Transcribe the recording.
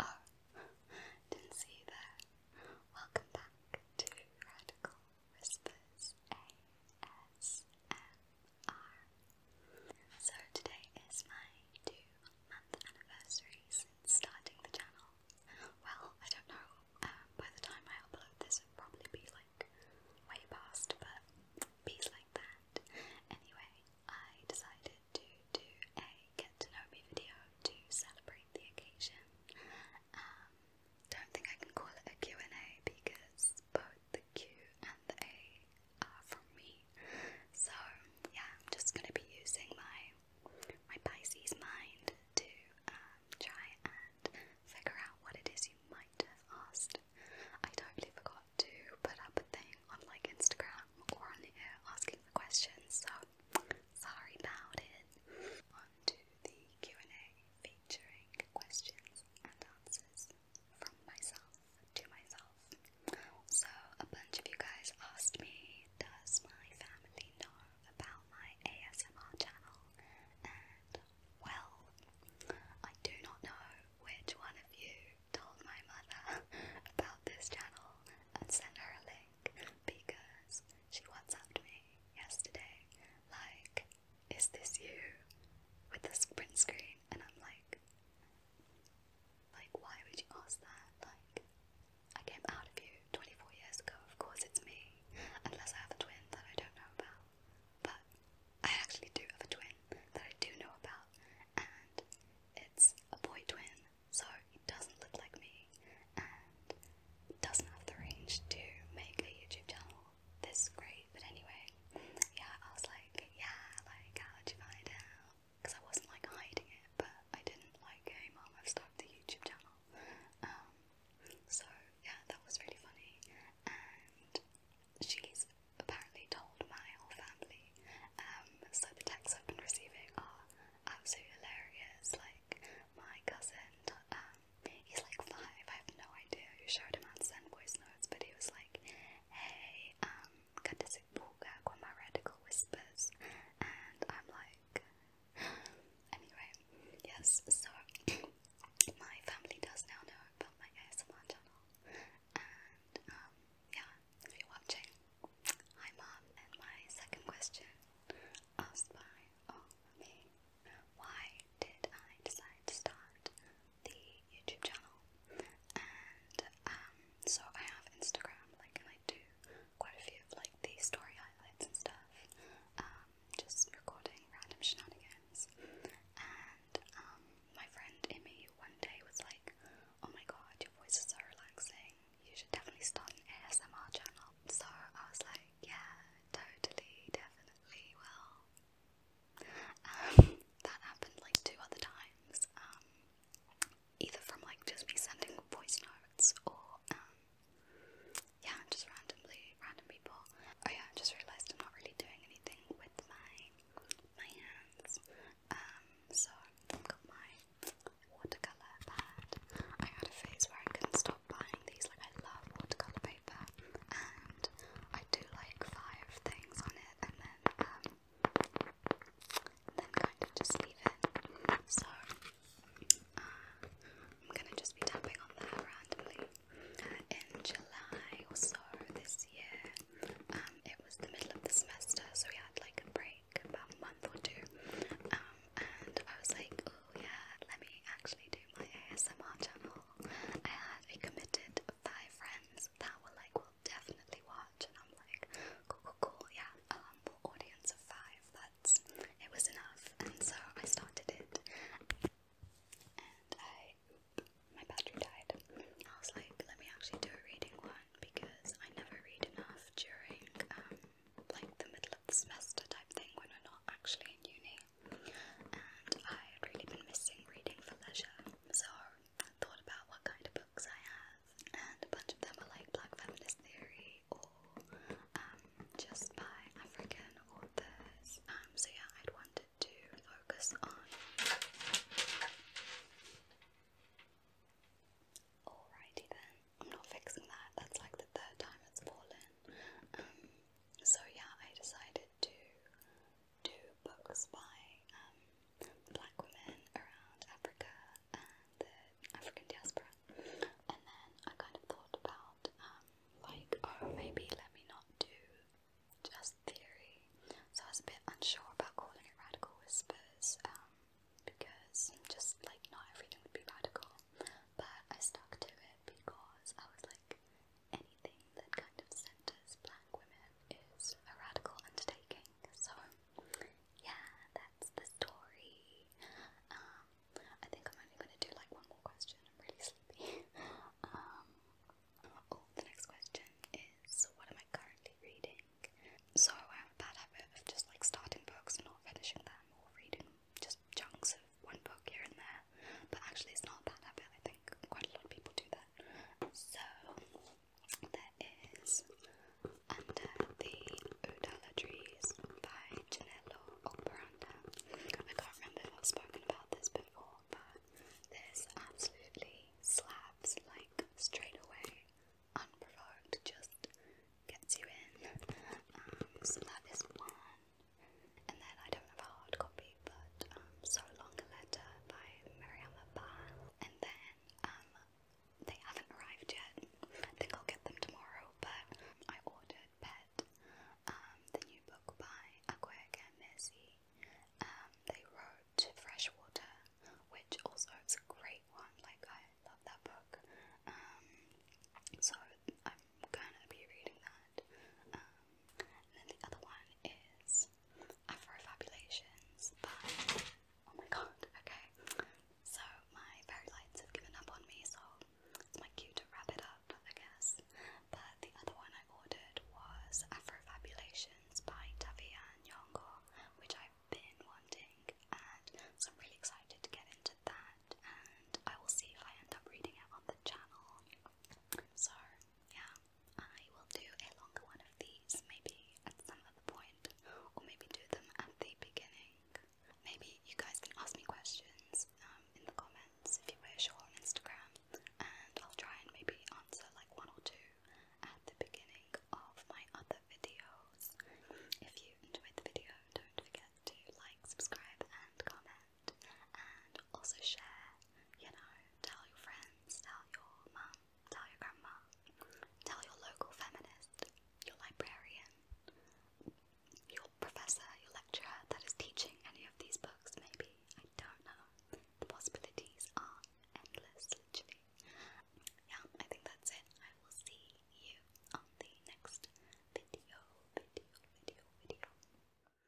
Oh, didn't see you there. Welcome back to Radical Whispers ASMR. So today is my two-month anniversary since starting the channel. Well, I don't know. Um, by the time I upload this, it'll probably be like way past, but bees like that. Anyway, I decided to do a get to know me video to celebrate the occasion. Um, don't think I can call it a and a because both the Q and the A are from me. So yeah, I'm just going to be using my my Pisces mind to um, try and figure out what it is you might have asked it. I totally forgot to put up a thing on like Instagram or on the air asking for questions, so sorry about it. On to the Q&A featuring questions and answers from myself to myself. So a bunch of you guys asked me, does my family know about my ASMR channel? Well, I do not know which one of you told my mother about this channel and sent her a link because she WhatsApped me yesterday, like, is this you? With this print screen, and I'm like, like, why would you ask that? Like, I came out of you 24 years ago, of course it's me, unless I have a twin that I don't know about. But I actually do have a twin that I do know about, and it's a boy twin, so he doesn't look like me and doesn't have the range to make a YouTube channel this great. But anyway, yeah, I was like, yeah, like, how did you find out? Because I wasn't like hiding it, but I didn't like, hey mom, I've started the YouTube channel. Um, so yeah, that was really funny. And she's apparently told my whole family. Um, so the texts I've been receiving are absolutely hilarious. Like my cousin, um, he's like five. I have no idea who showed him how to send voice notes, but he was like, "Hey, um, katasipuka kwa my radical whispers," and I'm like, anyway, yes, so my family does now know about my ASMR channel, and um, yeah, if you're watching, hi mom. And my second question, asked by oh, me, why did I decide to start the YouTube channel? And um, so I have Instagram, like, and I do quite a few of like the story highlights and stuff. Um, just recording random shenanigans. And um, my friend Imi one day was like, "Oh my god, your voice is so relaxing. You should definitely start an ASMR channel." So I was like, "Yeah, totally, definitely will." Um, that happened like two other times. Um, either from like just me sending voice notes or yeah, just randomly, random people. Oh yeah, I just realised I'm not really doing anything with my, my hands, um, so I've got my watercolour pad. I had a phase where I couldn't stop buying these, like I love watercolour paper, and I do like five things on it, and then, um, then kind of just leave it. So, I'm gonna just be tapping on that randomly. Uh, in July or so this year, um, it was the middle of the semester, so we had like a break, about a month or two. Um, and I was like, oh yeah, let me actually do my ASMR channel. I had a committed five friends that were like, we'll definitely watch, and I'm like, cool, cool, cool, yeah, um, audience of five, but it was enough, and so I started it. And I, my battery died. I was like, let me actually do a reading one because I never read enough during um, like the middle of the semester type thing when we're not actually in uni. And I had really been missing reading for leisure, so thought about what kind of books I have, and a bunch of them are like Black Feminist Theory um, just by African authors. Um, so yeah, I'd wanted to focus on. Alrighty then, I'm not fixing that. That's like the third time it's fallen. Um, so yeah, I decided to do books by black women around Africa and the African diaspora. And then I kind of thought about, um, like, oh, maybe let me not do just theory. So I was a bit unsure about calling it Radical Whispers um, because just like not everything would be radical. But I stuck to it because I was like, anything that kind of centers black women is a radical undertaking. So yeah, that's the story. Um, I think I'm only gonna do like one more question. I'm really sleepy. Um, oh, the next question is, what am I currently reading? So bad habit of just like starting books and not finishing them, or reading just chunks of one book here and there. But actually, it's not a habit. I think quite a lot of people do that. So there is Under the Udala Trees by Janello Operanda. I can't remember if I've spoken about this before, but this absolutely slaps like straight away, unprovoked, just gets you in. Um, so that is one. And then I don't have a hard copy, but um, So Long a Letter by Mariama Barr. And then um, they haven't arrived yet. I think I'll get them tomorrow, but I ordered Pet, um, the new book by Akwega Messi. Um, they wrote Freshwater, which also is a great one, like I love that book. Um, so I'm gonna be reading that. then the other one is Afrofabulations, but oh my god, okay. So my fairy lights have given up on me, so it's my cue to wrap it up, I guess. But the other one I ordered was Afrofabulations by Tavia and which I've been wanting, and so I'm really excited to get into that. And I will see if I end up reading it on the channel. So yeah, I will do a longer one of these maybe at some other point, or maybe do them at the beginning. Maybe you guys can ask me questions um, in the comments if you wish, or on Instagram, and I'll try and maybe answer like one or two at the beginning of my other videos. If you enjoyed the video, don't forget to like, subscribe, and comment and also share, you know, tell your friends, tell your mum, tell your grandma, tell your local feminist, your librarian, your professor, your lecturer that is teaching any of these books, maybe. I don't know. The possibilities are endless, literally. Yeah, I think that's it. I will see you on the next video, video, video, video.